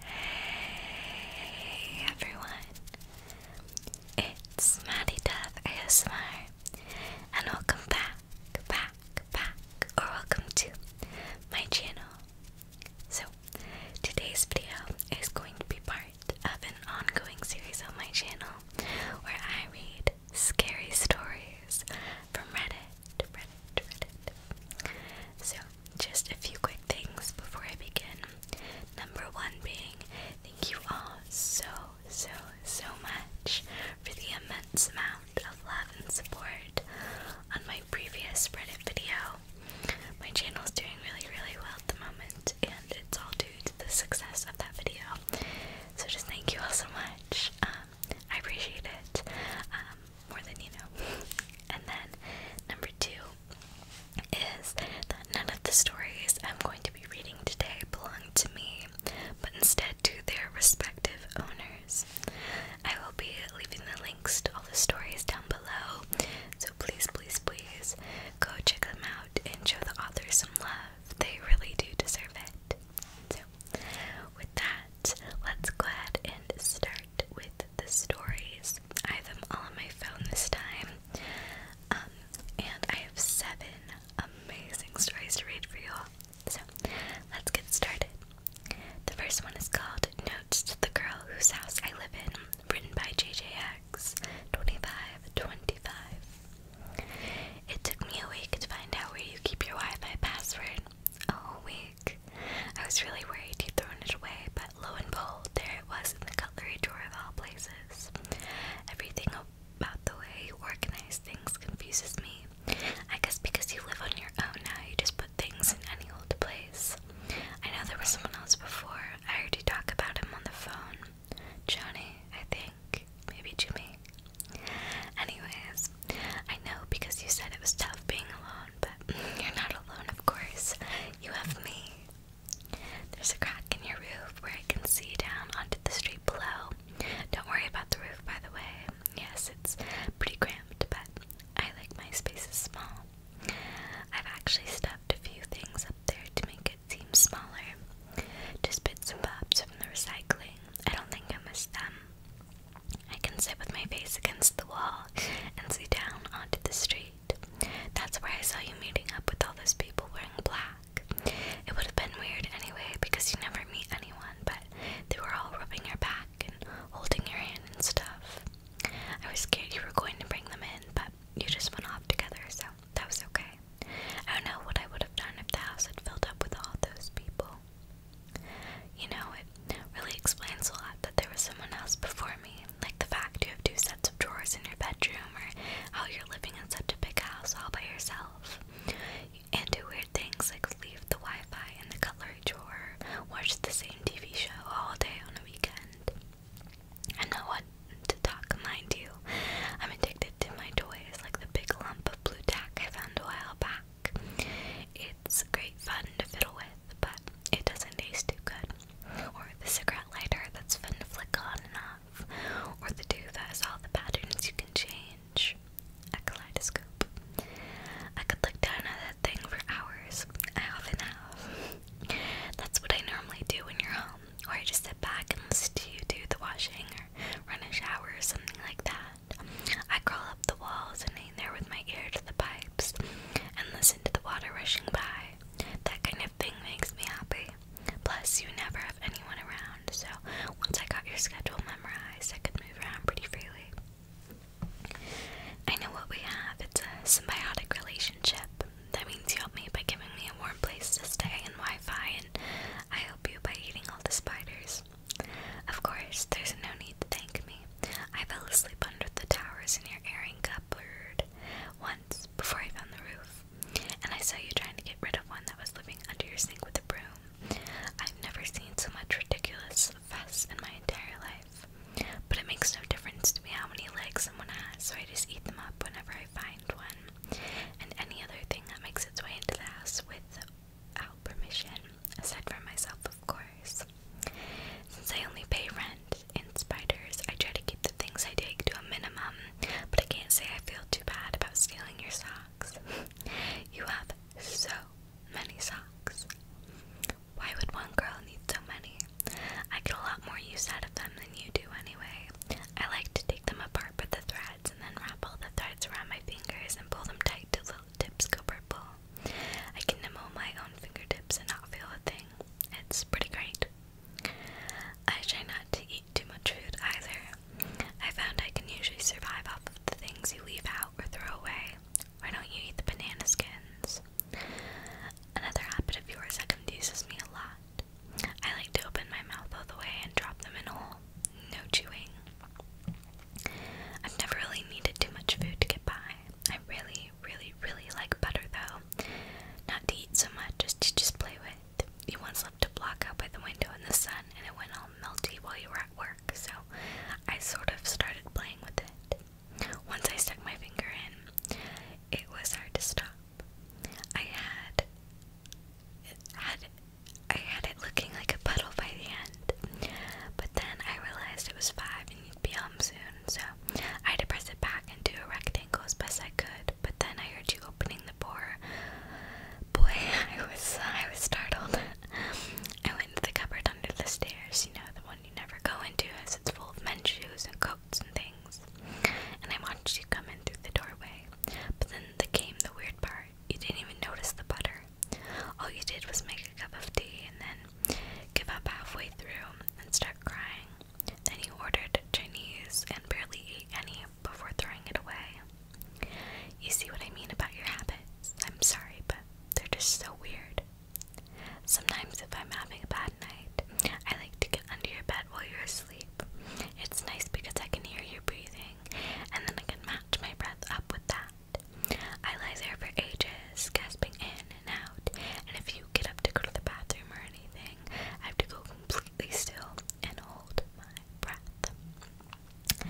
Hey everyone, it's Maddie Dove ASMR, and welcome back, back, back, or welcome to my channel. So, today's video is going to be part of an ongoing series on my channel where I read scary stories from Reddit so, just a few quick things before I begin. Number one being, thank you all so, so, so much for the immense amount of love and support on my previous Reddit video. My channel is doing really, really well at the moment, and it's all due to the success of that video. So, just thank you all so much. Um, I appreciate it. Um, more than you know. And then number two is that none of the stories I'm going to be reading today belong to me, but instead to their respective owners. I will be leaving the links to all the stories down below, so please, please, please go check them out and show the authors some love. They really do deserve it. So, with that, let's go ahead and start with the stories. I have them all on my phone this time. Um, and I have seven amazing stories to read for you all. So let's get started. The first one is called Notes to the Girl Whose House I Live In, written by JJX 2525. It took me a week to find out where you keep your Wi Fi password. Oh, we I was really worried you would thrown it away, but lo and behold, there it was in the cutlery drawer of all places. Everything about the way you organize things confuses me. I guess because you live on your own now, you just put things in any old place. I know there was someone else before. I heard you talk about him on the phone. Johnny, I think. Maybe Jimmy. Anyways, I know because you said it was tough being alone, but you're not alone, of course. You have me. There's a crack in your roof where I can see down onto the street below. Don't worry about the roof, by the way. Yes, it's pretty cramped, but I like my spaces small. I've actually stuffed a few things up there to make it seem smaller. Just bits and bobs from the recycling. I don't think I missed them. I can sit with my face against the wall and see down onto the street. That's where I saw you meeting up with all those people wearing black. It would have been weird anyway because you never meet anyone, but they were all rubbing your back and holding your hand and stuff. I was scared you were going to bring them in, but you just went off together, so that was okay. I don't know what I would have done if the house had filled up with all those people. You know, it really explains a lot that there was someone else before me, like the fact you have two sets of drawers in your bedroom, or how you're living in such a big house all by yourself. And do weird things like leave the Wi Fi in the cutlery drawer, watch the same TV show all day on a weekend. I know what to talk, mind you. I'm addicted to my toys, like the big lump of blue tack I found a while back. It it's great fun to fiddle with, but it doesn't taste too good. Or the cigarette lighter that's fun to flick on and off. Or the do that has all the patterns you can change. A kaleidoscope. I could look down at that thing for hours. I often have. That's what I normally do when you're home. Or I just sit back and listen to you do the washing or run a shower or something like that. I crawl up the walls and hang there with my ear to the pipes and listen to the water rushing by. That kind of thing makes me happy. Plus, you never have anyone around, so once I got your schedule memorized, I could move around pretty freely. I know what we have. It's a symbiotic relationship. That means you help me by giving me a warm place to stay and Wi Fi, and I help you by eating all the spiders. Of course, there's no need to thank me. I fell asleep under the towers in your airing cupboard once before I found the roof, and I saw you trying to get rid of one that was living under your sink with a broom. I've never seen so much ridiculous fuss in my entire life, but it makes no difference to me how many legs someone has, so I just eat them up whenever I find one, and any other thing that makes its way into the house with out permission. I said myself, of course. Since I only pay rent in spiders, I try to keep the things I take to a minimum, but I can't say I feel too bad about stealing your socks. you have so many socks. Why would one girl need so many? I get a lot more use out of them than you do, anyway. I like to take them apart but the threads and then wrap all the threads around my fingers and pull them tight to. the tips go purple. I can nibble my own fingertips and not feel a thing. It's pretty great. I try not to eat too much food either. I found I can usually survive off of the things you leave out or throw away. Why don't you eat the banana skins? Another habit of yours that confuses me a lot. I like to open my mouth all the way and drop them in a hole. No chewing. I've never really needed too much food to get by. I really, really, really like butter though. Not to eat so much just to just play with. You once left a block out by the window in the sun and it went all melty while you were at work, so I sort of started playing with it. Once I stuck my finger in, it was hard to stop. I had had I had it looking like a puddle by the end, but then I realized it was five and you'd be home soon, so I had to press it back and do a rectangle as best I could. But then I heard you opening the door. Boy, I was I was startled. I went into the cupboard under the stairs, you know, the one you never go into as it's full of men's shoes and coats and things. And I watched you come in through the doorway. But then the came the weird part. You didn't even notice the butter. All you did was make a cup of tea and then give up halfway through and start crying. Then you ordered Chinese and barely ate any before throwing it away. You see what I mean about your habits? I'm sorry, but they're just so weird. Sometimes, if I'm having a bad night, I like to get under your bed while you're asleep. It's nice because I can hear you breathing, and then I can match my breath up with that. I lie there for ages, gasping in and out, and if you get up to go to the bathroom or anything, I have to go completely still and hold my breath. I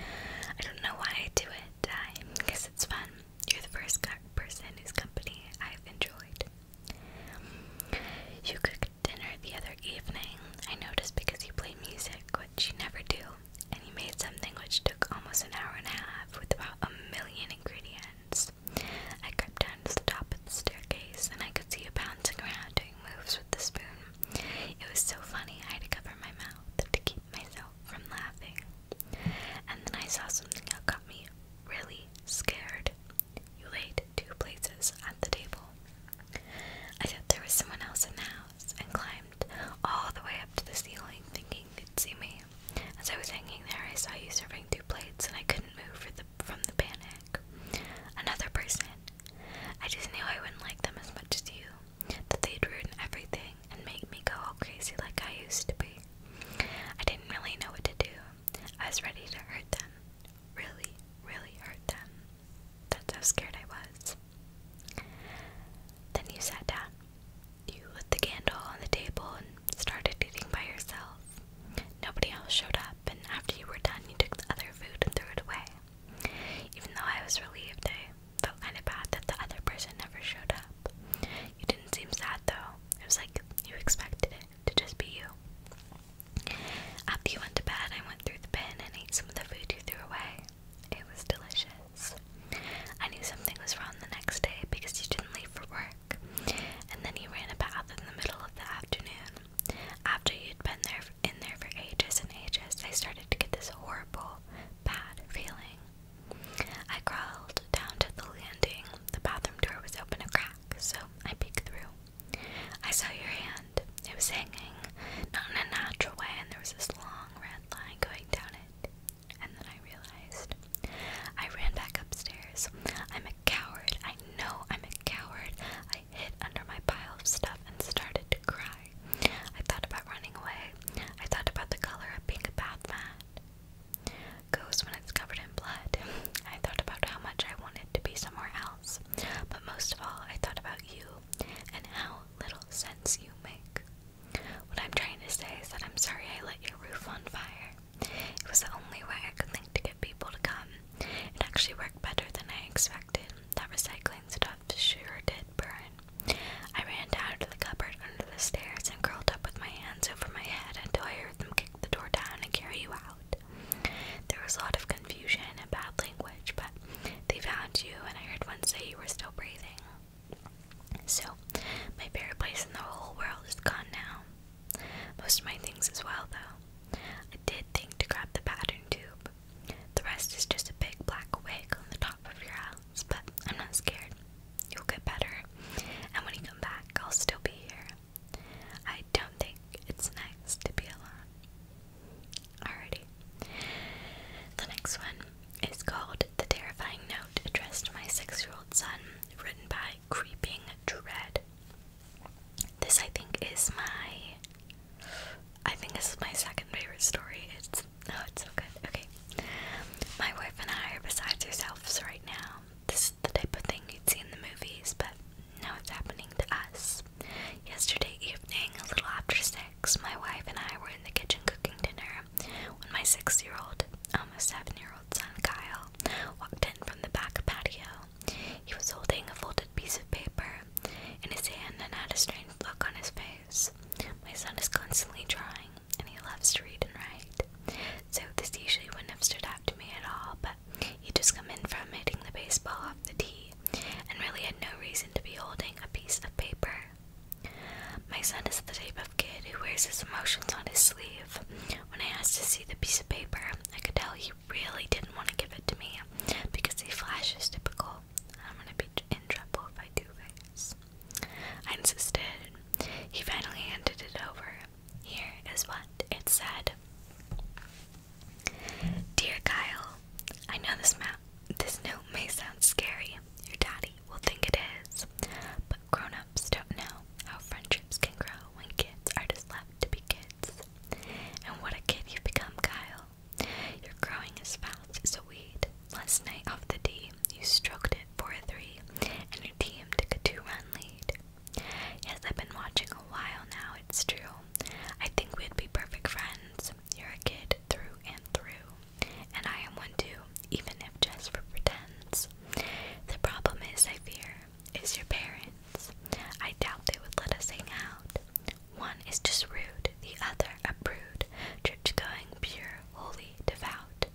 don't know why I do it, I guess it's fun. You're the first person whose company I've enjoyed. You cooked dinner the other evening, I noticed because you play music which you never do, and he made something which took almost an hour and a half with about a million ingredients. I crept down to the top of the staircase, and I could see you bouncing around doing moves with the spoon. It was so funny I had to cover my mouth to keep myself from laughing. And then I saw something that got me really scared. You laid two places at the table. I thought there was someone else in the house and climbed all the way up to the ceiling, thinking you'd see me. As I was hanging there, I saw you serving two plates, and I couldn't move for the, from the panic. Another person. I just knew I wouldn't like them as much as you, that they'd ruin everything and make me go all crazy like I used to be. I didn't really know what to do. I was ready to hurt them. Really, really hurt them. That's how scared I was. Then you sat down. You lit the candle on the table and started eating by yourself. Nobody else showed up, and after you were done, you took the other food and threw it away. Even though I was relieved, I felt kind of bad that the other person never showed up. You didn't seem sad though. It was like you expected it to just be you. After you went to bed, I went through the bin and ate some of the food you threw away. It was delicious. I knew something was wrong the next day because you didn't leave for work, and then you ran a bath in the middle of the afternoon. After you'd been there in there for ages and ages, I started to get this horrible, bad feeling. I crawled down to the landing. The bathroom door was open a crack, so I peeked through. I saw your hand. It was hanging, not in a natural way, and there was this long red red going down it. And then I realized. I ran back upstairs. I'm a coward. I know I'm a coward. I hid under my pile of stuff and started to cry. I thought about running away. I thought about the color of pink bath mat goes when it's covered in blood. I thought about how much I wanted to be somewhere else. But most of all, I thought about you and how little sense you make. What I'm trying to say is that I'm sorry I lit your roof on fire. It was the only way I could think to get people to come. It actually worked better than I expected. That recycling stuff sure did burn. I ran down to the cupboard under the stairs and curled up with my hands over my head until I heard them kick the door down and carry you out. There was a lot of confusion and bad language, but they found you, and I heard one say you were still breathing. So, my favorite place in the whole world is gone now. Most of my things as well, though. I did think to grab the pattern tube. The rest is just a big black wig on the top of your house, but I'm not scared. You'll get better, and when you come back, I'll still be here. I don't think it's nice to be alone. Alrighty. The next one is called The Terrifying Note Addressed to My Six Year Old Son, written by Creeping Dread. This, I think, is my. I think this is my second favorite story. It's. Oh, it's so good. Okay. My wife and I are besides ourselves right now. This is the type of thing you'd see in the movies, but now it's happening to us. Yesterday evening, a little after six, my wife and I were in the kitchen cooking dinner when my six year old, almost um, seven year old son Kyle walked in from the back patio. He was holding a folded piece of paper in his hand and had a strange look on his face. My son is constantly drawing and he loves to read and write. So this usually wouldn't have stood out to me at all, but he'd just come in from hitting the baseball off the tee and really had no reason to be holding a piece of paper. My son is the type of kid who wears his emotions on his sleeve. When I asked to see the piece of paper, I could tell he really didn't want to give it to me because he flashes typical. I'm gonna be in trouble if I do this. I insisted. He finally handed it over. Here is what it said Dear Kyle, I know this this note may sound scary. Your daddy will think it is. But grown ups don't know how friendships can grow when kids are just left to be kids. And what a kid you've become, Kyle. Your are growing as fast as a weed. Last night off the tee, you stroked it four a three, and your team took a two run lead. Yes, I've been watching a while now, it's true. I think we'd be perfect friends. You're a kid through and through, and I am one too, even if just for pretense. The problem is, I fear, is your parents. I doubt they would let us hang out. One is just rude, the other a brood, church going, pure, holy, devout.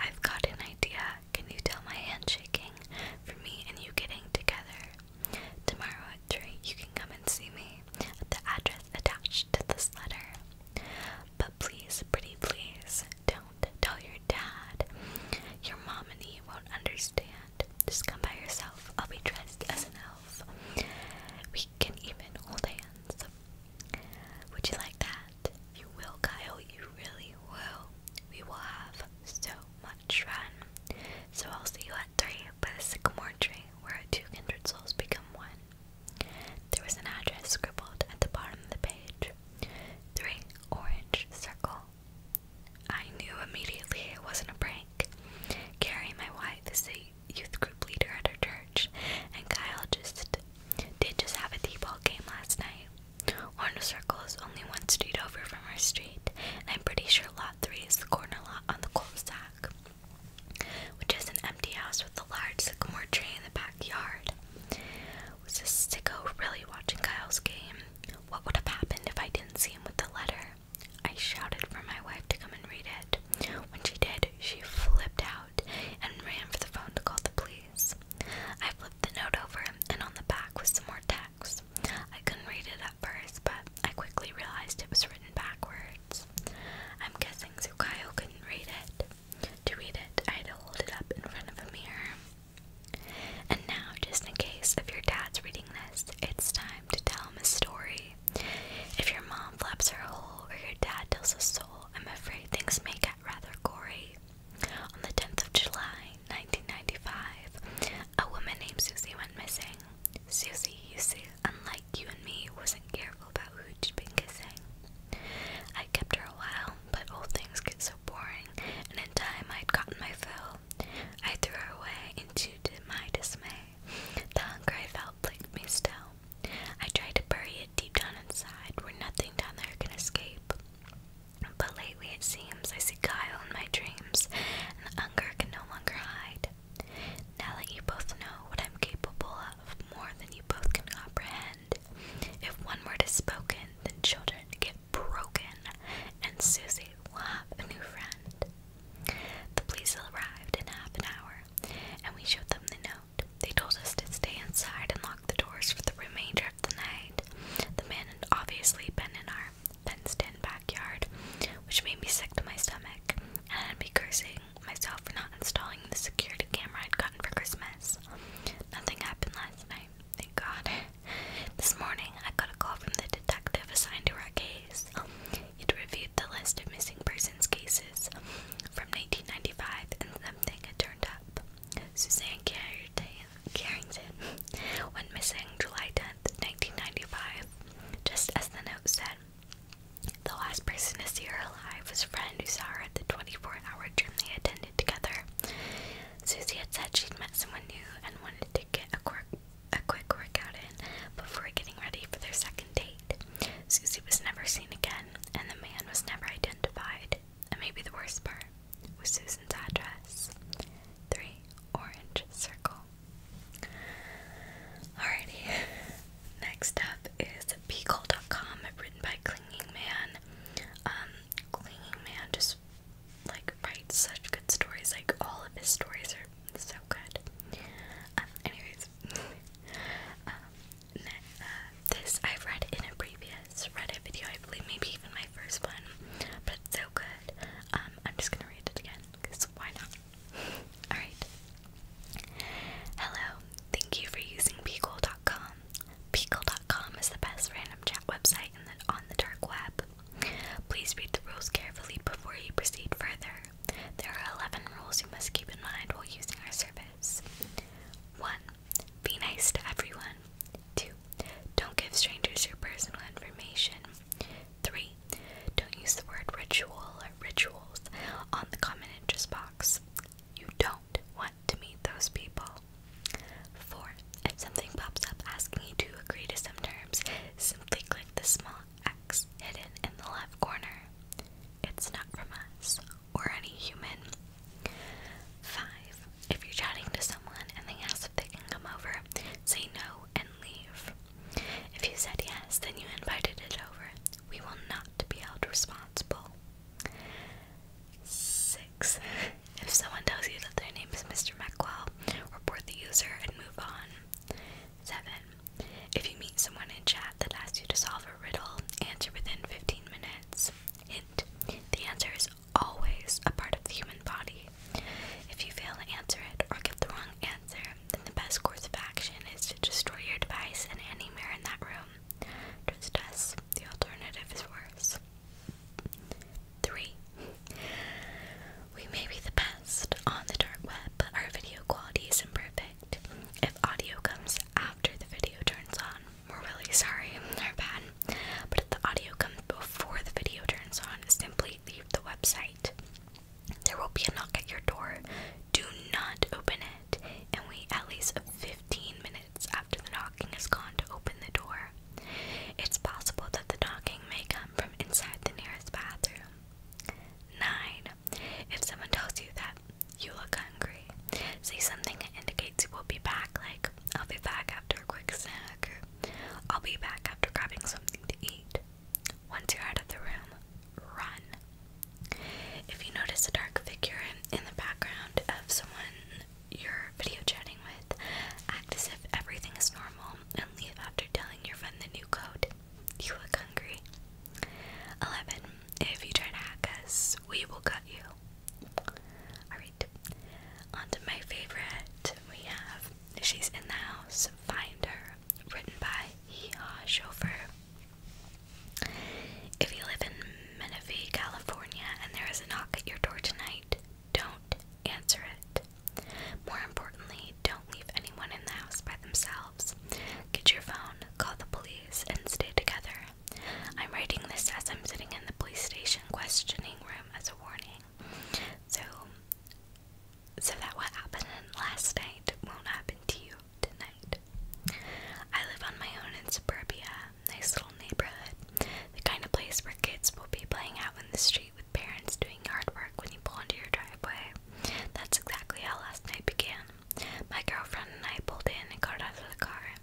I've got an idea. Can you tell my hand shaking for me and you getting together? Tomorrow country, you can come and see me the address attached to this letter. But please, pretty please, don't tell your dad. Your mom and he won't understand. Just come by yourself. I'll be dressed as an elf. We can even hold hands. Would you like that? You will, Kyle. You really will. We will have so much fun. So I'll see you at three by the sycamore tree, where two kindred souls become one. There was an address scribbled at the bottom of the page. Three Orange Circle. I knew immediately it wasn't a prank. Carrie, my wife, is a youth group leader at our church, and Kyle just did just have a a t-ball game last night. Orange Circle is only one street over from our street, and I'm pretty sure lot three is the corner lot on the cul-de-sac which is an empty house with a large sycamore tree in the backyard. Was this sicko really watching Kyle's game? What would have happened if I didn't see him with the letter? I shouted for my wife to come and read it. When she did, she flipped out and ran for the phone to call the police. I flipped the note over, and on the back was some more text. I couldn't read it at first, but I quickly realized it was written backwards. I'm guessing Kyle couldn't read it. To read it, I had to hold it up in front of a mirror. And now, just in case if your dad's reading this, it's time to tell him a story. If your mom flaps her hole or your dad tells a soul, I'm afraid things may get rather gory. On the 10th of July, 1995, a woman named Susie went missing. Susie used to you and me, wasn't careful about who she'd been kissing. I kept her a while, but old things get so boring, and in time I'd gotten my fill. I threw her away, into my dismay, the hunger I felt plagued me still. I tried to bury it deep down inside, where nothing down there can escape. But lately it seems I see Kyle in my dreams, and the hunger can no longer hide. Now that you both know what I'm capable of more than you both can comprehend, if one word is spoken, then children get broken, and Susie will have a new friend. The police arrived in half an hour, and we showed them the note. They told us to stay inside and lock the doors for the remainder of the night. The man had obviously been in our fenced in backyard, which made me sick to my stomach, and I'd be cursing myself for not installing the security camera I'd gotten for Christmas. Nothing happened last night, thank God. This morning, I got a call from the detective assigned to our case. It reviewed the list of missing persons cases from 1995 and something had turned up. Suzanne Carrington when missing July 10th, 1995. Just as the note said, the last person to see her alive was a friend who saw her at the 24-hour gym they attended together. Susie had said she'd met someone new and wanted to get a quick, workout in before getting ready for their second date. Susie was never seen again, and the man was never identified. And maybe the worst part was Susan's address. 3 Orange Circle. Alrighty, next up is Beagle.com, written by Clinging Man. Um, Clinging Man just like writes such good stories, like all of his stories are so good. Um, anyways, um, uh, this I've read in a previous Reddit video, I believe, maybe even my first one, but it's so good. I'm just gonna read it again because why not? Alright. Hello, thank you for using Beagle.com. Beagle.com is the best random chat website in the, on the dark web. Please read the rules carefully before you proceed further. There are 11 rules you must keep in mind while using our service. 1. Be nice to everyone. 2. Don't give strangers your personal information. 3. Don't use the word ritual or rituals on the common interest box. You don't want to meet those people. 4. If something pops up asking you to agree to some terms, simply click the small X hidden in the left corner. It's not from us or any human. 5. If you're chatting to someone and they ask if they can come over, say no and leave? If you said yes, then you invited it over. We will not be held responsible. 6. If someone tells you that their name is Mr. McQuill, report the user and move on. 7. If you meet someone in chat that asks you to solve a riddle, answer within 15 minutes. Hint. The answer is always a part of the human body. If you fail to answer it or give the wrong answer, then the best course of action is to destroy your device and any mirror in that room. Trust us, the alternative is worse. 3. We may be the best on the dark web, but our video quality is imperfect. If audio comes after the video turns on, we're really sorry, We're bad. But if the audio comes before the video turns on, simply leave the website. There will be a knock at your door. Do not open it and wait at least 15 minutes after the knocking is gone to open the door. It's possible that the knocking may come from inside the nearest bathroom. 9. If someone tells you that you look hungry, say something that indicates you will be back, like, I'll be back after a quick snack, or I'll be back after grabbing something to eat. Once you're out of the room, run. If you notice a dark figure in the background of someone you're video chatting with, act as if everything is normal and leave after telling your friend the new code. You look hungry. 11. If you try to hack us, we will cut you. Alright, on to my favorite. We have She's in the House, Find Her written by Hee-Haw If you live in Menifee, California, and there is a knock at your door tonight, don't answer it. More importantly, don't leave anyone in the house by themselves. Get your phone, call the police, and stay together. I'm writing this as I'm sitting in the police station questioning room as a warning. So, so that what happened last night won't happen to you tonight. I live on my own in suburbia, nice little neighborhood, the kind of place where kids will be playing out in the street with parents doing yard work when you pull into your driveway. That's exactly how last night began. My girlfriend and I pulled in and got out of the car.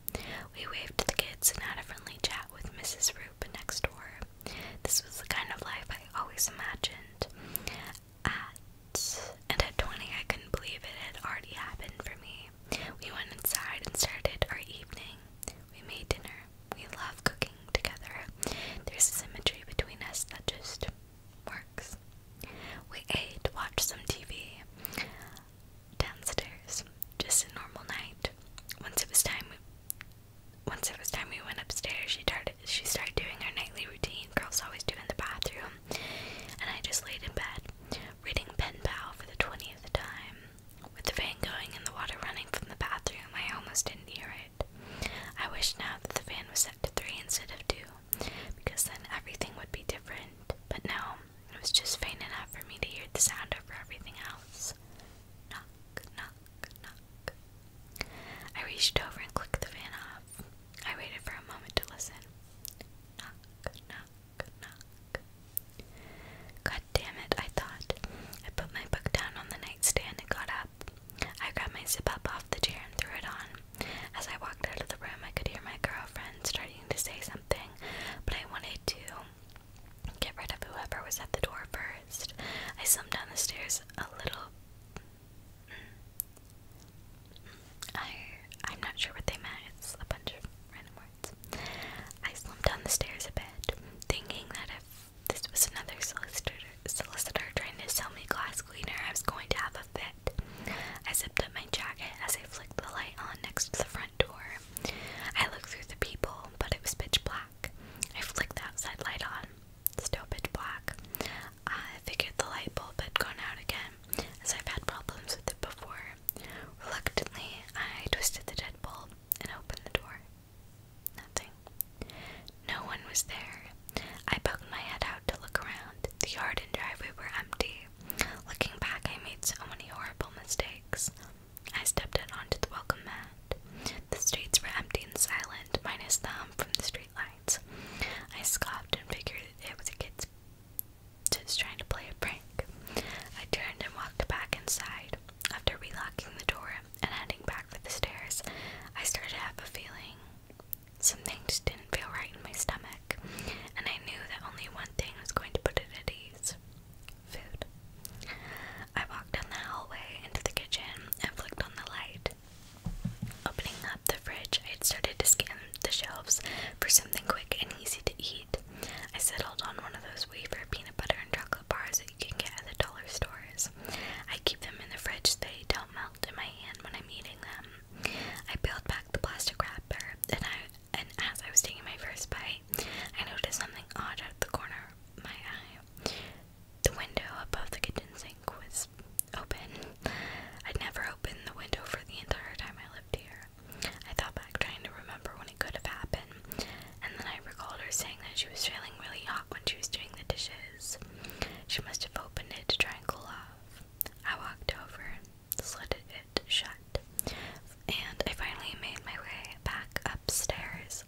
We waved to the kids and had a friendly chat with Mrs. Roop next door. This was the kind of life I always imagined at and at 20 I couldn't believe it had already happened for me. We went inside and started our evening. We made dinner. We love cooking together. There's a symmetry between us that just works. We ate, watched some TV downstairs. Just a normal night. Once it was time once it was time we went upstairs, she started she started doing her nightly routine, girls always do in the bathroom, and I just laid in bed, reading Pen Pal for the 20th time. With the fan going and the water running from the bathroom, I almost didn't hear it. I wish now that the fan was set to three instead of two, because then everything would be different. But no, it was just faint enough for me to hear the sound over everything else. Knock, knock, knock. I reached over and clicked the fan off. I waited for a moment to listen. Knock, knock, knock. God damn it, I thought. I put my book down on the nightstand and got up. I grabbed my zip up off the chair and threw it on. As I walked out of the room, I could hear my girlfriend starting to say something, but I wanted to get rid of whoever was at the door first. I slumped down the stairs a little I I'm not sure what they meant. It's a bunch of random words. I slumped down the stairs a bit, thinking that if this was another solicitor solicitor trying to sell me glass cleaner, I was going to have a fit. I zipped up my jacket as I flicked the light on next to the front door. I looked through the people, but it was pitch black. I flicked the outside light on still black. I figured the light bulb had gone out again, as I've had problems with it before. Reluctantly, I twisted the deadbolt and opened the door. Nothing. No one was there. I poked my head out to look around. The yard and driveway were empty. Looking back, I made so many horrible mistakes. I stepped out onto the welcome mat. The streets were empty and silent, minus the from the streetlight. I scoffed and figured it was a kid's just trying to play a prank. I turned and walked back inside. After relocking the door and heading back for the stairs, I started to have a feeling. Something just didn't feel right in my stomach, and I knew that only one thing was going to put it at ease food. I walked down the hallway into the kitchen and flicked on the light. Opening up the fridge, I had started to scan the shelves for something quick and easy to eat. I settled on one of those wafer peanut butter and chocolate bars that you can get at the dollar stores. I keep them in the fridge they don't melt in my hand when I'm eating them. I peeled back the plastic wrapper, and as I was taking my first bite, I noticed something odd out of the corner of my eye. The window above the kitchen sink was open. I'd never opened the window for the entire time I lived here. I thought back trying to remember when it could have happened, and then I recalled her saying that she was feeling really hot when she was doing the dishes. She must have opened it to try and cool off. I walked over, slid it shut, and I finally made my way back upstairs.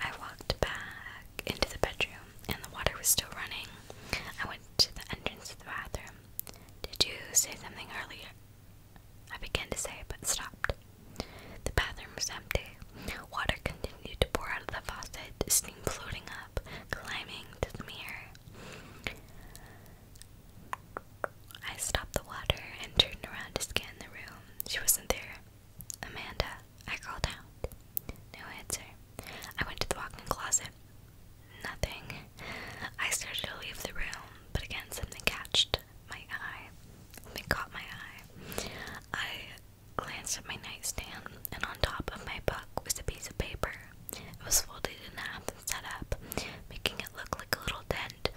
I walked back into the bedroom and the water was still running. I went to the entrance of the bathroom. Did you say something earlier? I began to say, but stopped. The bathroom was empty. Water continued to pour out of the faucet, steam floating up, climbing to the mirror. I stopped the water and turned around to scan the room. She wasn't there. Amanda, I crawled out. No answer. I went to the walk in closet. Nothing. I started to leave the room, but again, something catched my eye. Something caught my eye. I glanced at my nightstand, and on top of my book was a piece of paper. It was folded in half and set up, making it look like a little tent.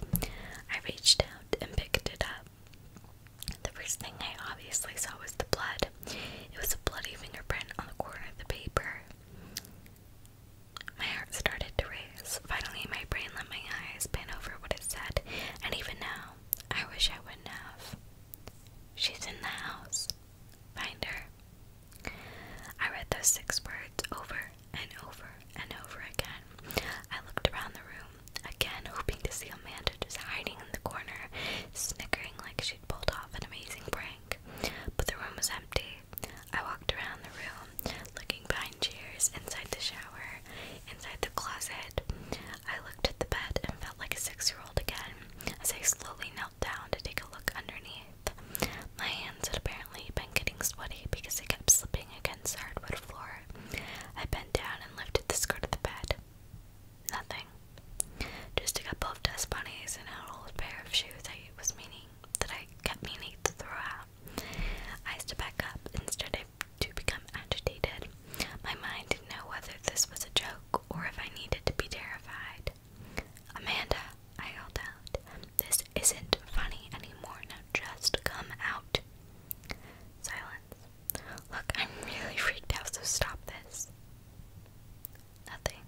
I reached out and picked it up. The first thing I obviously saw was the blood. It was a bloody fingerprint on the corner of the paper. My heart started to race. Finally, my brain let my eyes pan over what it said, and even now, I wish I wouldn't have. She's in the house. Find her. I read those six words over and over and over again. I looked around the room, again hoping to see Amanda just hiding in the corner, snickering like she'd pulled off an amazing prank. But the room was empty. I walked around the room, looking behind chairs, inside the shower, inside the closet. I looked at the bed and felt like a six year old again as I slowly knelt down to take a look underneath. My hands had apparently been getting sweaty because I kept slipping against the hardwood floor. I bent down and lifted the skirt of the bed. Nothing. Just a couple of dust bunnies and an old pair of shoes I was meaning that I kept meaning to throw out. I stood back up and started to become agitated. My mind didn't know whether this was a joke or if I needed to be terrified. Amanda, I yelled out, this isn't funny anymore. Now just come out. Silence. Look, I'm really freaked out, so stop this. Nothing.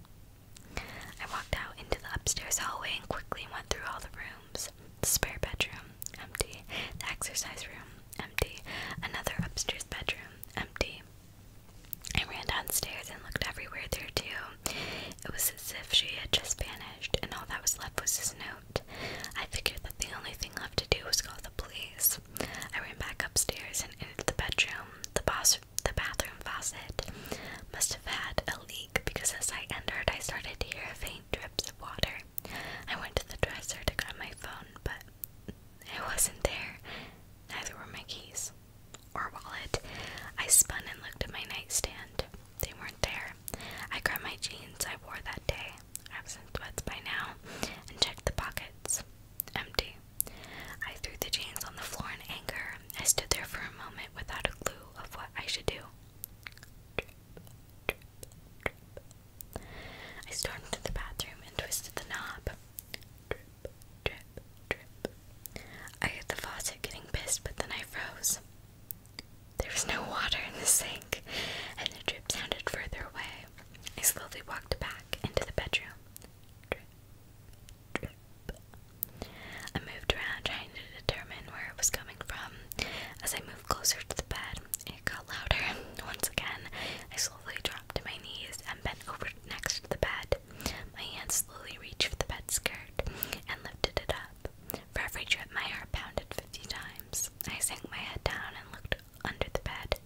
I walked out into the upstairs hallway and quickly went through all the rooms. The spare bedroom, empty. The exercise room, empty. Another upstairs bedroom, empty. I ran downstairs and looked everywhere there too. It was as if she had just vanished, and all that was left was this note. I figured that the only thing left to do was call the police myself. I ran back upstairs and into the bedroom. The boss, the bathroom faucet must have had a leak because as I entered, I started to hear faint drips of water. I went to the dresser to grab my phone, but it wasn't there. Neither were my keys or wallet. I spun and looked at my nightstand. They weren't there. I grabbed my jeans I wore that day. I was in sweats by now, and checked the pockets. Empty. I threw the jeans on the floor in anger. I stood there for a moment without a clue of what I should do. I stormed to the bathroom and twisted the knob. Drip, drip, drip. I heard the faucet getting pissed, but then I froze. There was no water in the sink, and the drip sounded further away. I slowly walked back into the bedroom. I moved around trying to determine where it was coming from. As I moved closer to the bed, it got louder. Once again, I slowly dropped to my knees and bent over next to the bed. My hand slowly reached for the bed skirt and lifted it up. For every trip, my heart pounded fifty times. I sank my head down and looked under the bed.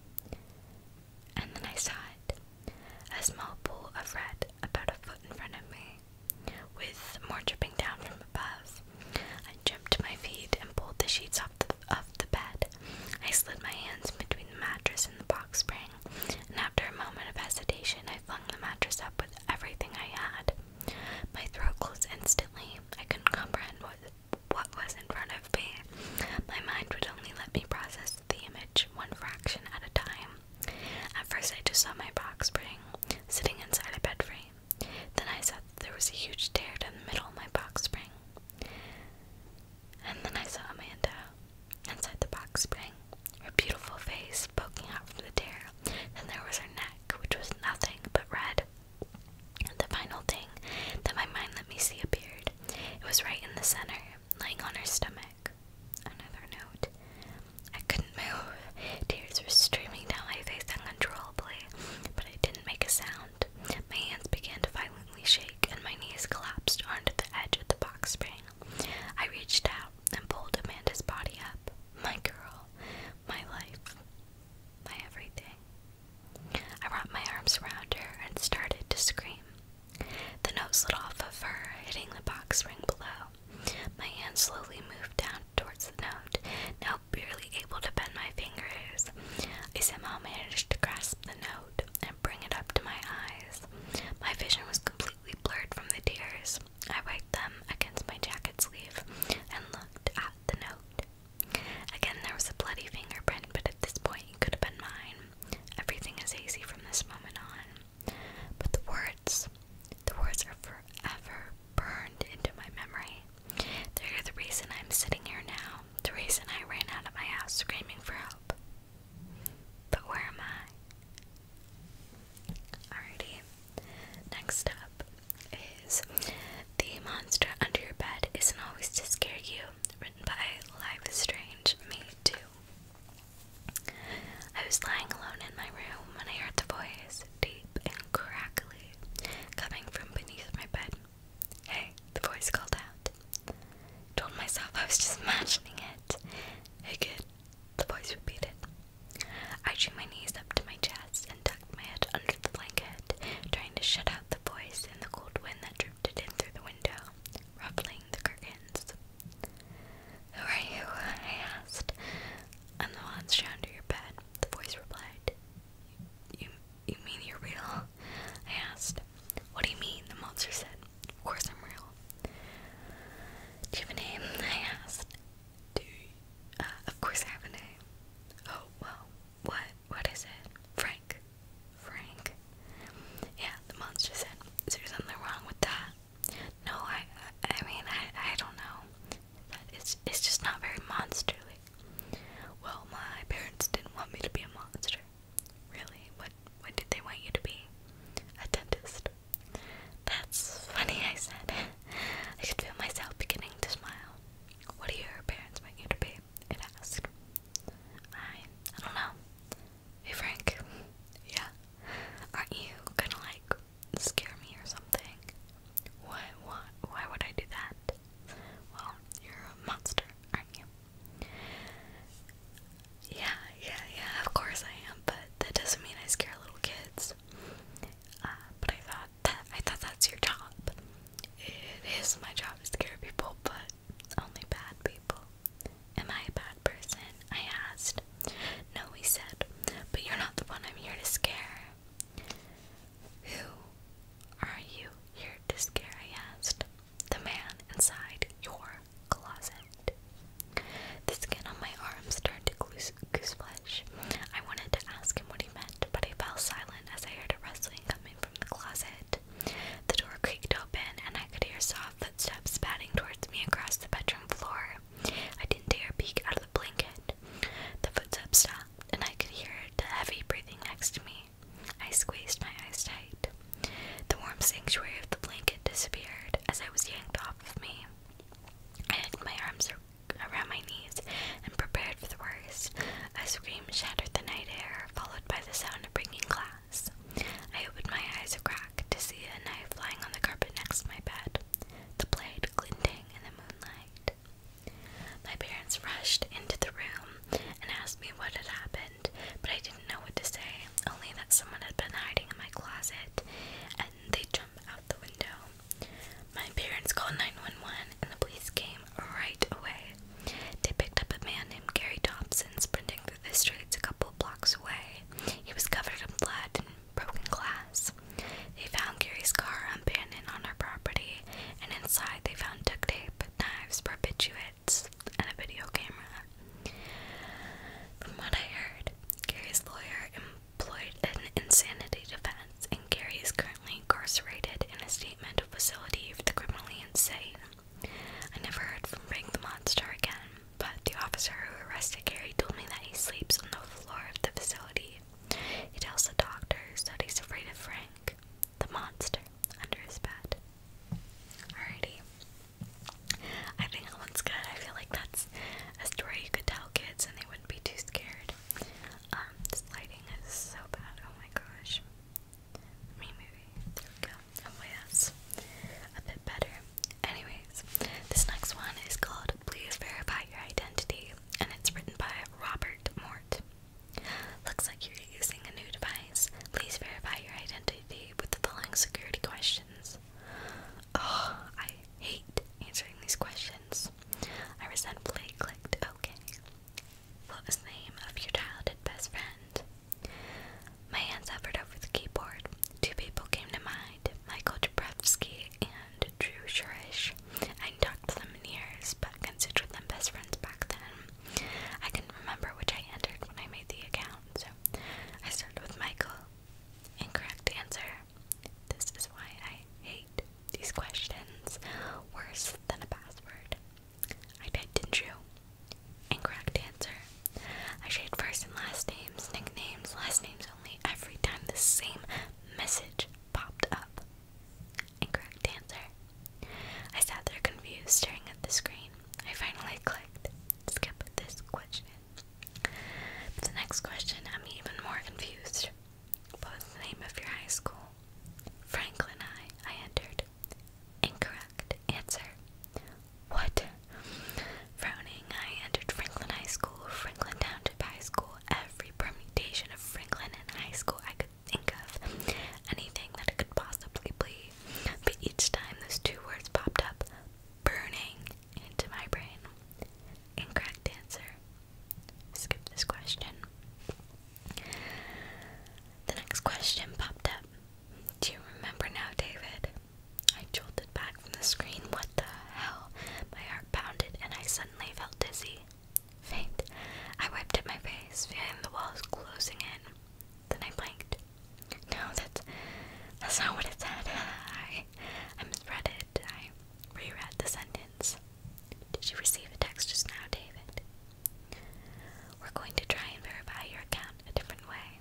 And then I saw it a small pool of red about a foot in front of me, with more dripping down from above. I jumped to my feet and pulled the sheets off the, off the bed. I slid my hands between the mattress and the box spring, and after a moment of hesitation, I flung the mattress up with everything I had. My throat closed instantly. I couldn't comprehend what what was in front of me. My mind would only let me process the image one fraction at a time. At first, I just saw my box spring sitting inside a bed frame. Then I saw there was a huge tear down the middle of my box spring. And then I saw Amanda inside the box spring, her beautiful face poking out from the tear. and there was her neck, which was nothing but red, the final thing that my mind let me see appeared. It was right in the center, lying on her stomach. Another note. I couldn't move. Tears were streaming down my face uncontrollably, but I didn't make a sound. My hands began to violently shake, and my knees collapsed onto the edge of the box spring. I reached out and pulled Amanda's body up. My girl, my life, my everything. I wrapped my arms around her and started to scream. The note slid off of her, hitting the box ring below. My hand slowly moved down towards the note, now barely able to bend my fingers. I somehow managed to grasp the note and bring it up to my eyes. My vision was completely blurred from the tears. I wiped them against my jacket sleeve and looked at the note. Again, there was a bloody fingerprint, but at this point it could have been mine. Everything is hazy from this moment on. But the words, the words are forever burned into my memory. They're the reason I'm sitting here now, the reason I ran out of my house screaming for help. But where am I? Alrighty. Next up is the monster under your bed isn't always to scare you. Written by Life Strange, me too. I was lying alone in my room when I heard the voice, deep and crackly, coming from beneath my bed. Hey, the voice called out. told myself I was just imagining it. Hey kid, the voice repeated. I drew my knees up to my chest and tucked my head under the blanket, trying to shut out the voice and the cold wind that trooped in through the window, ruffling the curtains. Who are you? I asked. I'm the one under your bed, the voice replied. You, you mean you're real? I asked. What do you mean? The monster said. Of course I'm real. Do you have a name? I asked. Do uh, of course I have a name. Oh, well, what what is it? Frank. Frank. Yeah, the monster said, Is there something wrong with that? No, I I mean I I don't know. it's it's just not very monsterly. Well, my parents didn't want me to be a monster. Really? What what did they want you to be? A dentist. That's funny, I said. I could feel myself beginning to smile. What do your parents want you to be? say and I I don't know. Hey Frank, yeah. Aren't you gonna like scare me or something? What what why would I do that? Well, you're a monster, aren't you? Yeah, yeah, yeah, of course I am, but that doesn't mean I scare little kids. Uh, but I thought that I thought that's your job. It is my job to scare people, but only bad people. Am I a bad person? I asked. No, he said, but you're not the one I'm here to scare. Who are you here to scare? I asked. The man inside your closet. The skin on my arms turned to goose, goose I wanted to ask him what he meant, but I fell silent as I heard a rustling coming from the closet. The door creaked open, and I could hear soft footsteps padding towards me across the bedroom floor. I didn't dare peek out of the blanket. The footsteps stopped, and I could hear the heavy breathing next to me. I squeezed my eyes tight. The warm sanctuary of the blanket disappeared as I was yanked off of me. I had my arms around my knees and prepared for the worst. A scream shattered the night air, followed by the sound of breaking glass. I opened my eyes a crack to see a knife lying on the carpet next to my bed, the blade glinting in the moonlight. My parents rushed into the room and asked me what had happened, but I didn't know what to say, only that someone had been hiding in my closet and they jumped out the window. My parents called 911 and the police came, right away. They picked up a man named Gary Thompson sprinting through the streets a couple blocks away. He was covered in blood and broken glass. They found Gary's car abandoned on her property, and inside they found duct tape, knives, barbiturates, and a video camera. From what I heard, Gary's lawyer employed an insanity defense, and Gary's is incarcerated in a statement facility for the criminally insane. I never heard from Frank the Monster again, but the officer who arrested Gary told me that he sleeps on the floor of the facility. He tells the doctors that he's afraid of Frank, the monster, under his bed. Alrighty. I think that one's good. I feel like that's a story you could tell kids and they wouldn't be too scared. Um, this lighting is so bad. Oh my gosh. I maybe. There we go. Hopefully that's a bit better. Anyways, this next one is called Please Verify Your Identity, and it's written by Robert Mort. Looks like you're using a new device. Please verify your identity with the following security questions. Oh, I hate answering these questions. I resentfully clicked OK. What was the name of your childhood best friend? My hands hovered over the keyboard. Two people came to mind Michael Dabrowski and Drew Shurish. I talked to them in years, but considered them best friends back then. I could remember which I entered when I made the account, so I started with Michael. Incorrect answer. This is why I hate these questions worse than a password. I typed in Drew. Incorrect answer. I shade first and last names, nicknames, last names only every time the same message popped up. Incorrect answer. I sat there confused, staring at the screen. I finally clicked. Skip this question. But the next question, I'm even more confused. What was the name of your high school? Franklin I, I entered. Incorrect. Answer. What? Frowning, I entered Franklin High School, Franklin Township High School, every permutation of Franklin and high school I could think of, anything that could possibly be. But each time those two words popped up, burning into my brain. Incorrect answer. Skip this question. The next question popped up. Do you remember now, David? I jolted back from the screen. What the hell? My heart pounded and I suddenly felt dizzy. Faint. I wiped at my face, feeling the walls closing in. Then I blinked. No, that's not what it said. I I misread it. I reread the sentence. Did you receive the text just now, David? We're going to try and verify your account a different way.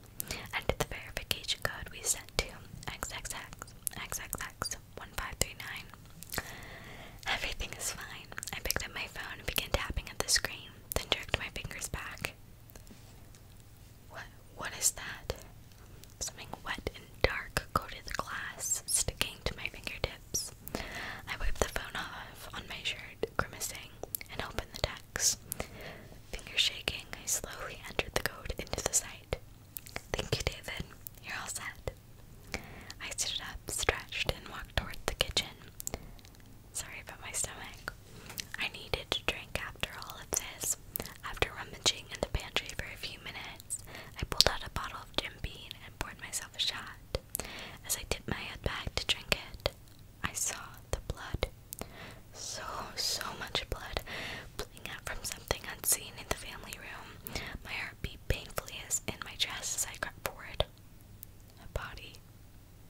Enter the verification code we sent to XXX1539. Everything is fine. I picked up my phone and began tapping at the screen, then jerked my fingers back. What what is that? Something wet and dark coated the glass, sticking to my fingertips. I wiped the phone off on my shirt, grimacing, and opened the text. Finger shaking, I slowly entered the code into the site. Thank you, David. You're all set. I stood up, stretched, and walked toward the kitchen. Sorry about my stomach. I needed to drink after all of this. After rummaging in the pantry for a few minutes, I pulled out a bottle of Jim Beam and poured myself a shot. As I tipped my head back to drink it, I saw the blood. So, so much blood pulling out from something unseen in the family room. My heart painfully as in my chest as I crept forward. A body,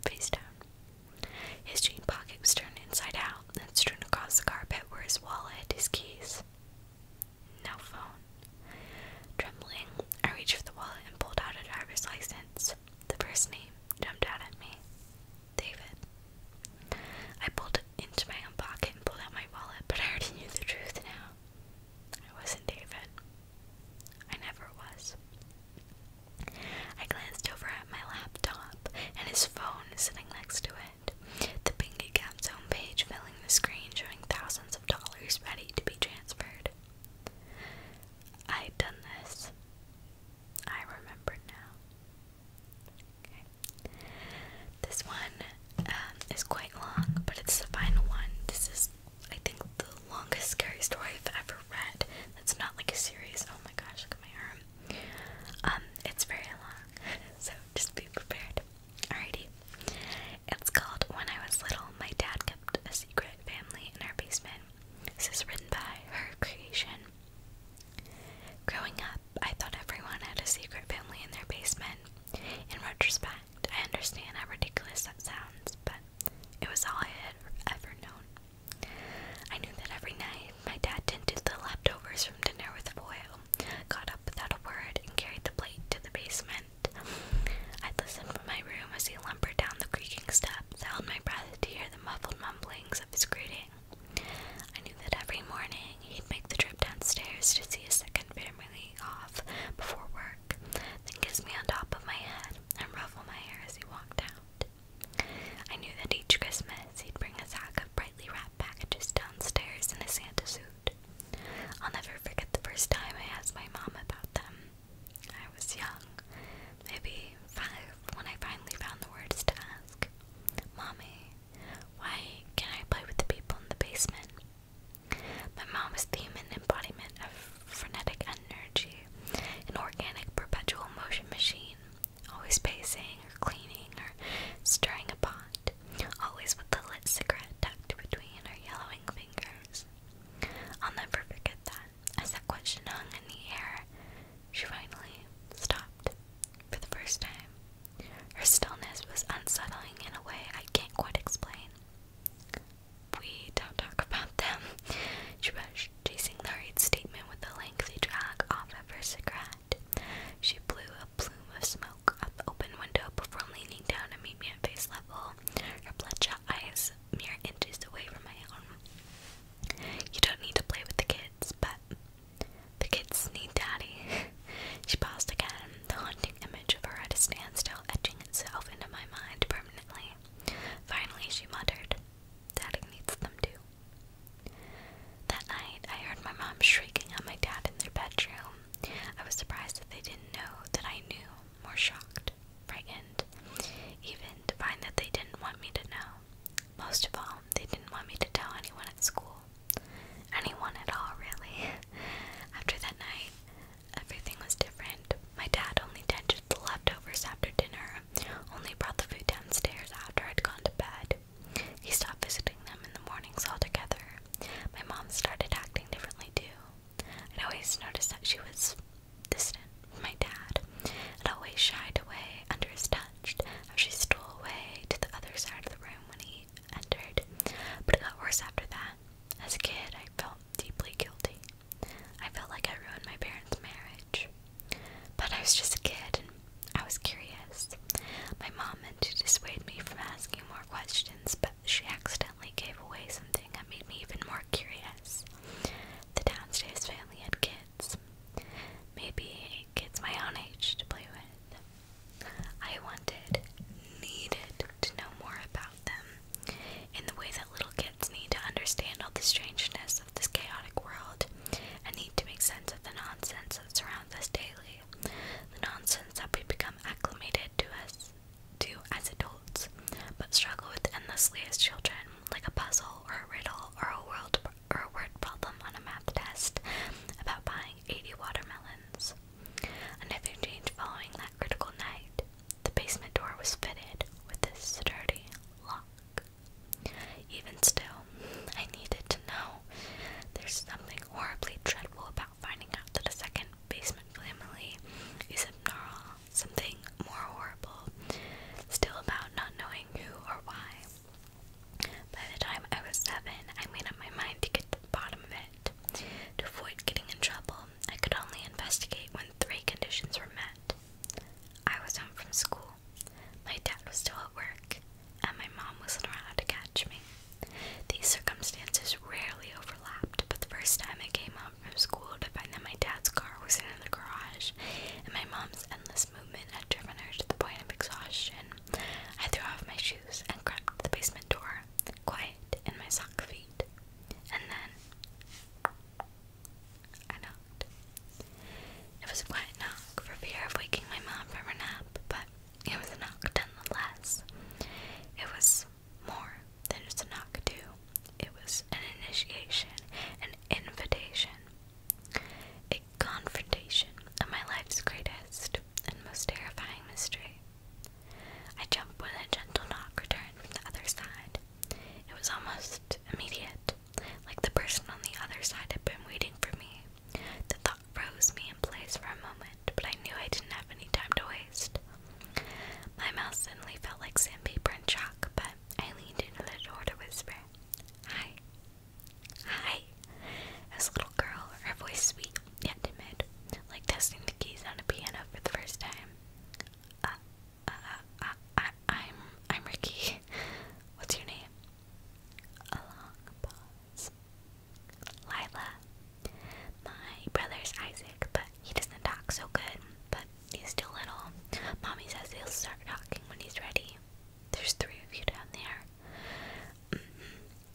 face down. His jean pocket was turned inside out and strewn across the carpet were his wallet, his keys. No phone. Trembling, I reached for the wallet and pulled out a driver's license. The first name jumped out at me David. I pulled it into my own pocket and pulled out my wallet, but I already knew the truth now. I wasn't David. I never was. I glanced over at my laptop and his phone sitting next to it. The pink account's page filling the screen showing thousands of dollars ready to be transferred. I'd done this. I remember now. This one um, is quite long, but it's the final one. This is, I think, the longest scary story I've ever read. That's not like a series. Oh my gosh, look at my arm. Um, it's very long, so just be prepared. Alrighty. It's called When I Was Little, My Dad Kept a Secret Family in Our Basement. This is written by her creation. Growing up, I thought everyone had a secret family in their basement. In retrospect, I understand how ridiculous that sounds, but it was all I had ever known. I knew that every night my dad tinted the leftovers from dinner with foil, got up without a word, and carried the plate to the basement. I listened from my room as he lumbered down the creaking steps, I held my breath to hear the muffled mumblings of his greeting. I knew that every morning he'd make the trip downstairs to see his second family off before work, then kiss me on top of my head and ruffle my hair as he walked out. I knew that each Christmas he'd bring a sack of brightly wrapped packages downstairs in a Santa suit. I'll never forget the first time I asked my mom about them. I was young, maybe five, when I finally found the words to ask. Mommy, why can I play with the people in the basement? My mom was the human embodiment of frenetic energy, an organic perpetual motion machine, always pacing or cleaning or stirring a pot, always with the lit cigarette tucked between her yellowing fingers. I'll never forget that. As that question hung in the air, she finally stopped for the first time. Her stillness was unsettling in a way I can't quite explain. We don't talk about them, she rushed, chasing Larry's statement with a lengthy drag off of her cigarette. She blew a plume of smoke out the open window before leaning down to meet me at face level. Her bloodshot eyes mere inches away from my own. You don't need to play with the kids, but the kids need daddy. she paused again, the haunting image of her at a standstill etching itself into my mind permanently. Finally, she muttered, Daddy needs them too. That night, I heard my mom shrieking at my dad in their bedroom. I was surprised that they didn't know that I knew, more shocked, frightened, even to find that they didn't want me to know. Most of all, they didn't want me to tell anyone at school. Anyone at all, really. After that night, everything was different. My dad only tended the leftovers after dinner, only brought the food downstairs after I'd gone to bed. He stopped visiting them in the mornings altogether. My mom started acting differently too. I'd always noticed that she was distant from my dad, and always shied away under his touch, how she stole away to the other side of the room when he entered. But it got worse after that. As a kid, I felt deeply guilty. I felt like I ruined my parents' marriage. But I was just a kid and I was curious. My mom meant to dissuade me from asking more questions, but she accidentally gave away something that made me even more curious. The downstairs family had kids. Maybe kids my own age to play with. I wanted, needed to know more about them in the way that little kids need to understand all the strangeness of this chaotic world and need to make sense of the nonsense that surrounds us daily. The nonsense that we become acclimated to us do as adults, but struggle with endlessly as children, like a puzzle or a riddle or a world or a word problem on a math test about buying 80 watermelons. Another change following that critical night, the basement door was fitted with a sturdy lock. Even still, I needed to know. There's something horribly dreadful about finding out that a second basement family is abnormal, something more horrible, still about not knowing who or why. By the time I was seven, I made up my mind to get to the bottom of it. To avoid getting in trouble, I could only investigate when three conditions were met. I was home from school, my dad was still at work, and my mom wasn't around to catch me. These circumstances rarely overlapped, but the first time I came home from school to find that my dad's car was in the garage and my mom's endless movement had driven her to the point of exhaustion, I threw off my shoes and crept to the basement door, quiet in my sock feet. And then I knocked. It was a quiet knock for fear of waking my mom from her nap, but it was a knock nonetheless. It was more than just a knock do. It was an initiation, an invitation, a confrontation of my life's greatest and most terrifying mystery. I jumped when a gentle knock returned from the other side. It was almost immediate, like the person on the other side had been waiting for me. The thought froze me in place for a moment but I knew I didn't have any time to waste. My mouth suddenly felt like sandpaper and chalk, but I leaned into the door to whisper, Hi. Hi. As little girl, her voice sweet, yet timid, like testing the keys on a piano for the first time. Uh, uh, uh, I, am I'm Ricky. What's your name? A long pause. Lila, my brother's Isaac, but he doesn't talk so good, but he's still little. Mommy says he'll start talking when he's ready. There's three of you down there.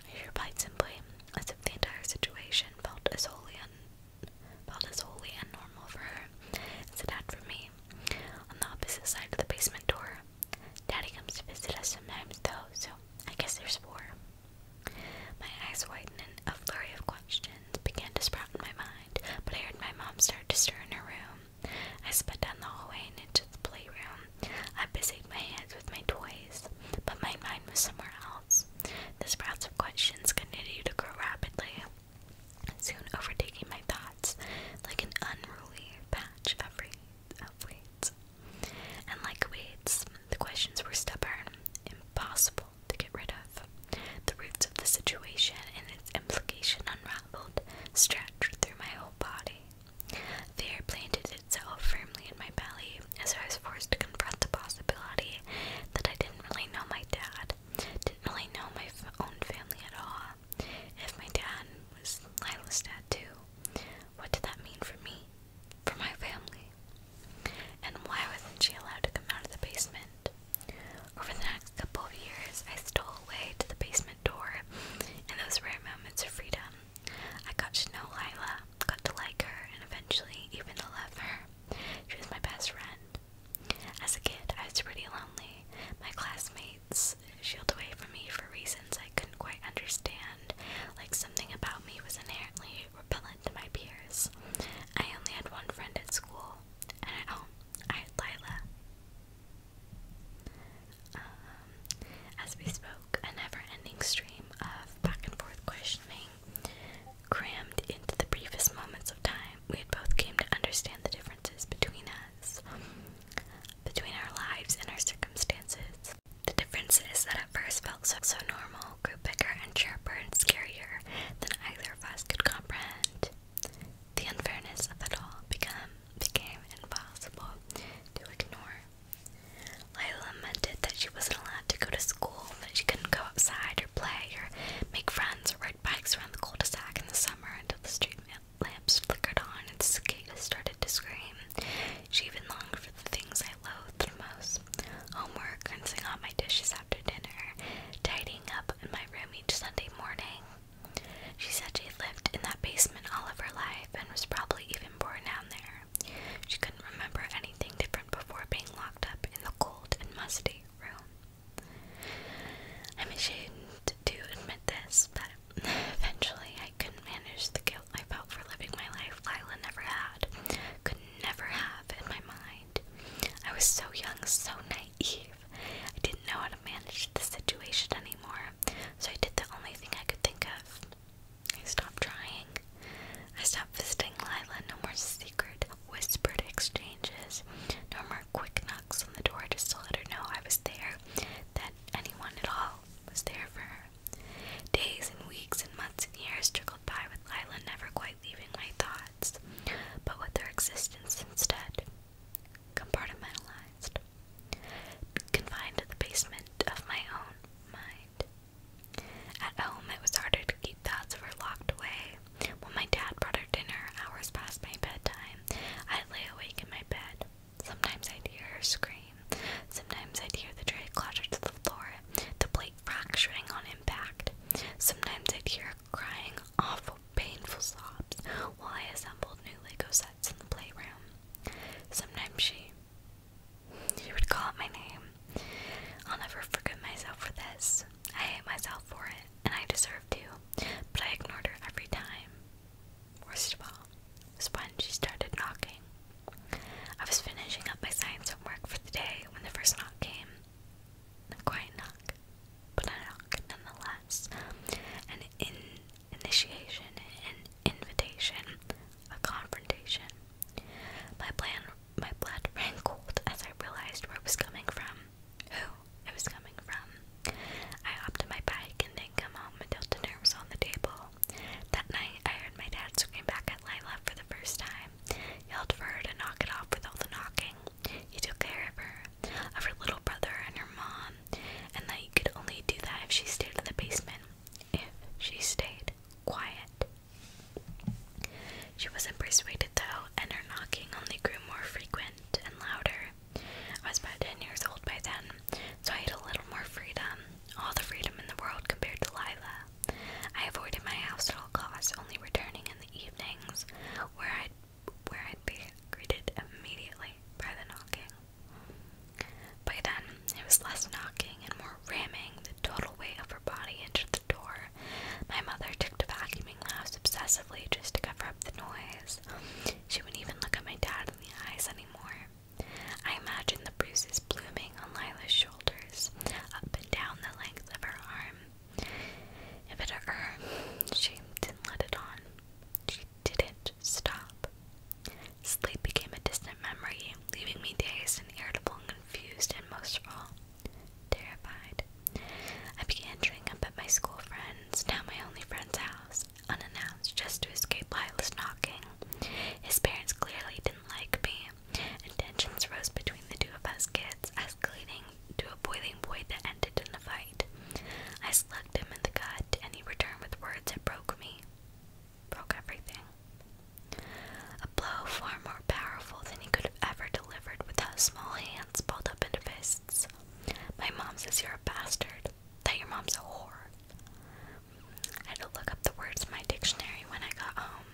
She mm-hmm. replied simply, as if the entire situation felt as wholly, un felt as wholly abnormal for her as it had for me. On the opposite side of the basement door, Daddy comes to visit us sometimes, though, so I guess there's four. My eyes widened and a flurry of questions began to sprout in my mind, but I heard my mom start to stir in her room. I sped down the hallway and into the playroom. I busied my hands with my toys, but my mind was somewhere else. The sprouts of questions continued to grow rapidly, soon overtaking my thoughts like an unruly patch of weeds. And like weeds, the questions were stubborn, impossible to get rid of. The roots of the situation and its implication unraveled, stretched through my whole body. Fear planted itself firmly in my belly as I was forced to confront the possibility that I didn't really know my dad, didn't really know my own family at all. If my dad was Lila's dad too, what did that mean for me, for my family? And why wasn't she allowed to come out of the basement? Over the next couple of years, I stole away to the basement door in those rare moments of freedom. I got to know Lila, got to like her, and eventually even to love her. She was my best friend. As a kid, I was pretty lonely. My classmates shielded away from me for reasons I couldn't quite understand, like something about me was inherently repellent to my peers. I only had one friend at school, and at home, oh, I had Lila. Um, as we spoke, a never-ending stream of back-and-forth questioning crammed into the briefest moments of time, we had both came to understand the differences between us, between our lives and our circumstances, the difference is that at first felt so, so normal, grew bigger and sharper and scarier than either of us could comprehend. The unfairness of it all become, became impossible to ignore. Lila lamented that she wasn't allowed to go to school, that she couldn't go outside or play or make friends or ride bikes around the cul-de-sac in the summer until the street lamps flickered on and cicadas started to scream. She even longed for the things I loathed most homework, rinsing out my dishes after dinner, tidying up in my room each Sunday morning. She said she had lived in that basement all of her life and was probably even born down there. She couldn't remember anything different before being locked up in the cold and musty room. I'm ashamed to admit this, but eventually I couldn't manage the guilt I felt for living my life Lila never had. Could never have in my mind. I was so young, so naive. I didn't know how to manage the situation anymore, so I did the only thing I could think of. I stopped trying. I stopped visiting Lila, no more secret, whispered exchanges, no more quick knocks on the door just to let her know I was there, that anyone at all was there for her. Days and weeks and months and years trickled by with Lila never quite leaving my thoughts, but with their existence instead compartmentalized, confined to the basement of my own mind. At home, it was harder to keep thoughts of her locked away. When my dad brought her dinner hours past my bedtime, i lay awake in my bed. Sometimes I'd hear her scream. Sometimes I'd hear the tray clatter to the floor, the plate fracturing on impact. Sometimes I'd hear crying, awful, painful sobs while I assembled new Lego sets in the playroom. Sometimes she she would call out my name. I'll never forgive myself for this. I hate myself for it, and I deserve to, but I ignored her every time. Worst of all was when she started knocking. I was finishing up my science homework for the day when the first knock came. A quiet knock, but a knock nonetheless. An initiation, an invitation, a confrontation. My plan, my blood ran cold as I realized where it was coming from, who it was coming from. I hopped in my bike and didn't come home until dinner was on the table. That night, I heard my dad scream back at Lila for the first time. He yelled for her to knock it off with all the knocking. He took care of her, of her little brother and her mom, and that you could only do that if she stayed in the basement. If she stayed quiet. She wasn't persuaded though, and her knocking only grew more frequent and louder. I was about 10 years old by then, so I had a little more freedom, all the freedom in the world compared to Lila. I avoided my house at all costs, only returning in the evenings, where I'd where I'd be greeted immediately by the knocking. By then, it was less knocking and more ramming the total weight of her body into the door. My mother took to vacuuming the house obsessively just to cover up the noise. She wouldn't even look at my dad in the eyes anymore. I imagine the bruises blooming on Lila's shoulders, up and down the length of her arm. If it were, she didn't let it on. She didn't stop. Sleep became a distant memory, leaving me dazed and irritable and confused and most of all, terrified. I began turning up at my school friends, now my only friend's house, unannounced just to escape Lila's knocking. His parents clearly didn't like me and rose between the two of us kids, escalating to a boiling point that ended in a fight. I slugged him in the gut, and he returned with words that broke me. Broke everything. A blow far more powerful than he could have ever delivered with his small hands balled up into fists. My mom says you're a bastard, that your mom's a whore. I had to look up the words in my dictionary when I got home.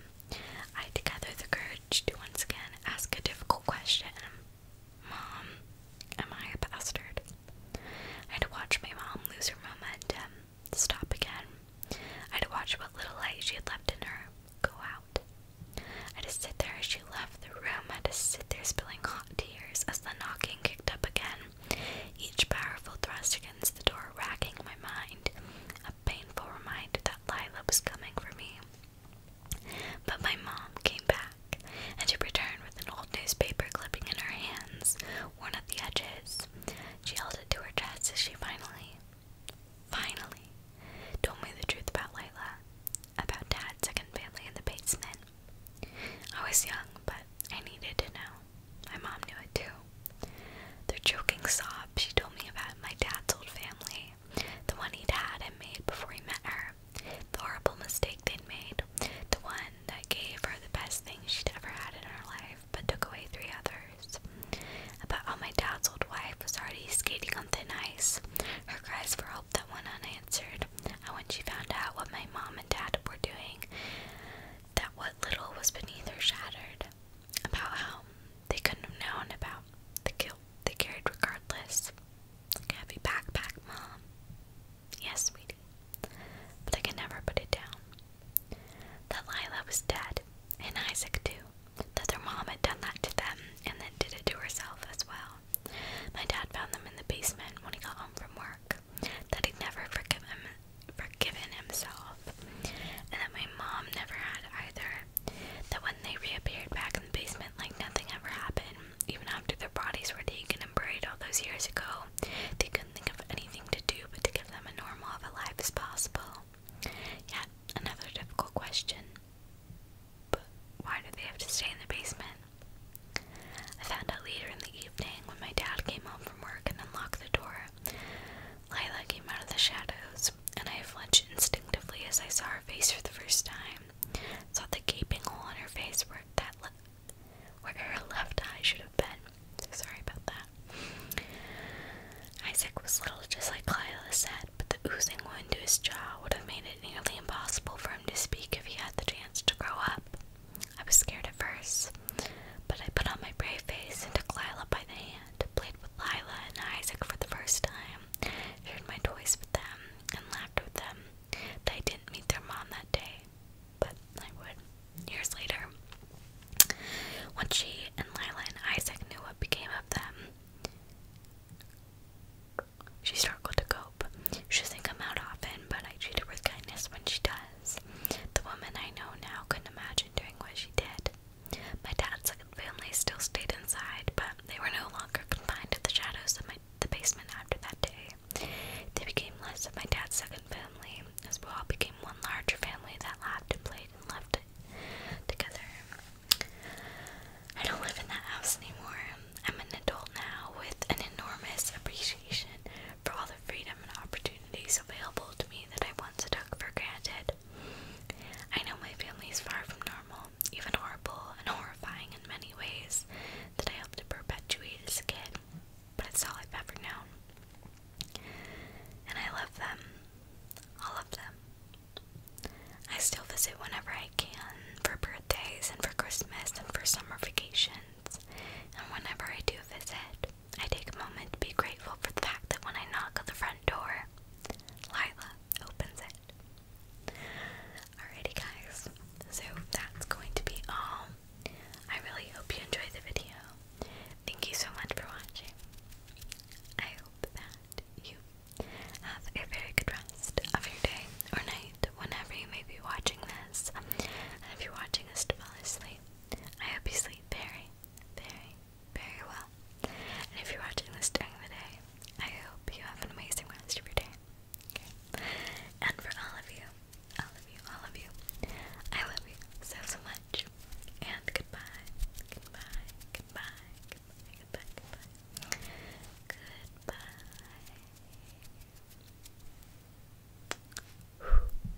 I had to gather the courage to once again ask a difficult question. Mom, am I a bastard? I had to watch my mom lose her momentum, stop again. I had to watch what little light she had left in her go out. I had to sit there as she left the room. I had to sit there spilling hot tears as the knocking kicked up again. Each powerful thrust the door, racking my mind. A painful reminder that Lila was coming for me. But my mom came back, and she returned with an old newspaper clipping in her hands, worn at the edges. She held it to her chest as she finally, finally, told me the truth about Lila, about Dad's second family in the basement. I was young, but I needed to know. My mom knew it too. Their choking sob, she told me about my dad's old family, the one he'd had and made before he met her, the horrible mistake they'd made, the one that gave her the best thing she'd ever had in her life but took away three others. About how my dad's old wife was already skating on thin ice, her cries for help that went unanswered, and when she found out what my mom and dad were doing, that what little was beneath her shattered, about how they couldn't have known about the guilt they carried regardless. heavy backpack, Mom. Yes, sweetie. But I could never put it down. That Lila was dead, and Isaac too. That their mom had done that to them and then did it to herself as well. My dad found them in the basement when he got home from work. That he'd never forgive him forgiven himself, and that my mom never had either. That when they reappeared back in the basement, like nothing ever happened, even after their bodies were taken and buried all those years ago, they couldn't think of anything to do but to give them a normal of a life as possible. Yet, another difficult question. But why did they have to stay in the basement? I found out later in the evening when my dad came home from work and unlocked the door. Lila came out of the shadows, and I flinched instinctively as I saw her face for the first time. Saw the gaping hole in her face where that where her left eye should have been. sorry about that. Isaac was little, just like Lila said, but the oozing wound to his jaw would have made it nearly impossible for him to speak if he had the chance to grow up. I was scared at first, but I put on my brave face and took Lila by the hand, played with Lila and Isaac for the first time, shared my toys with them, and laughed with them. They didn't meet their mom that day, but I would years later. When she and Lila and Isaac knew what became of them, she struggled to cope. She doesn't come out often, but I treat her with kindness when she does. The woman I know now couldn't imagine doing what she did. My dad's second family still stayed inside, but they were no longer confined to the shadows of my, the basement after that day. They became less of my dad's second family, as we all became one larger family that laughed and played and left together. I don't live in that house anymore. I'm an adult now with an enormous appreciation for all the freedom and opportunity opportunities available to me that I once took for granted. I know my family is far from normal, even horrible and horrifying in many ways that I helped perpetuate as a kid, but it's all I've ever known. And I love them. All of them. I still visit whenever I can for birthdays and for Christmas and for summer vacations. And whenever I do visit, I take a moment to be grateful for the fact that when I knock on the front door, Lila opens it. Alrighty, guys, so that's going to be all. I really hope you enjoyed the video. Thank you so much for watching. I hope that you have a very good rest of your day or night, whenever you may be watching this. And if you're watching this to fall asleep, I hope you sleep very, very, very well. And if you're watching this during the day, I hope you have an amazing rest of your day. And for all of you, all of you, all of you, I love you so, so much. And goodbye, goodbye, goodbye, goodbye, goodbye, goodbye. Goodbye.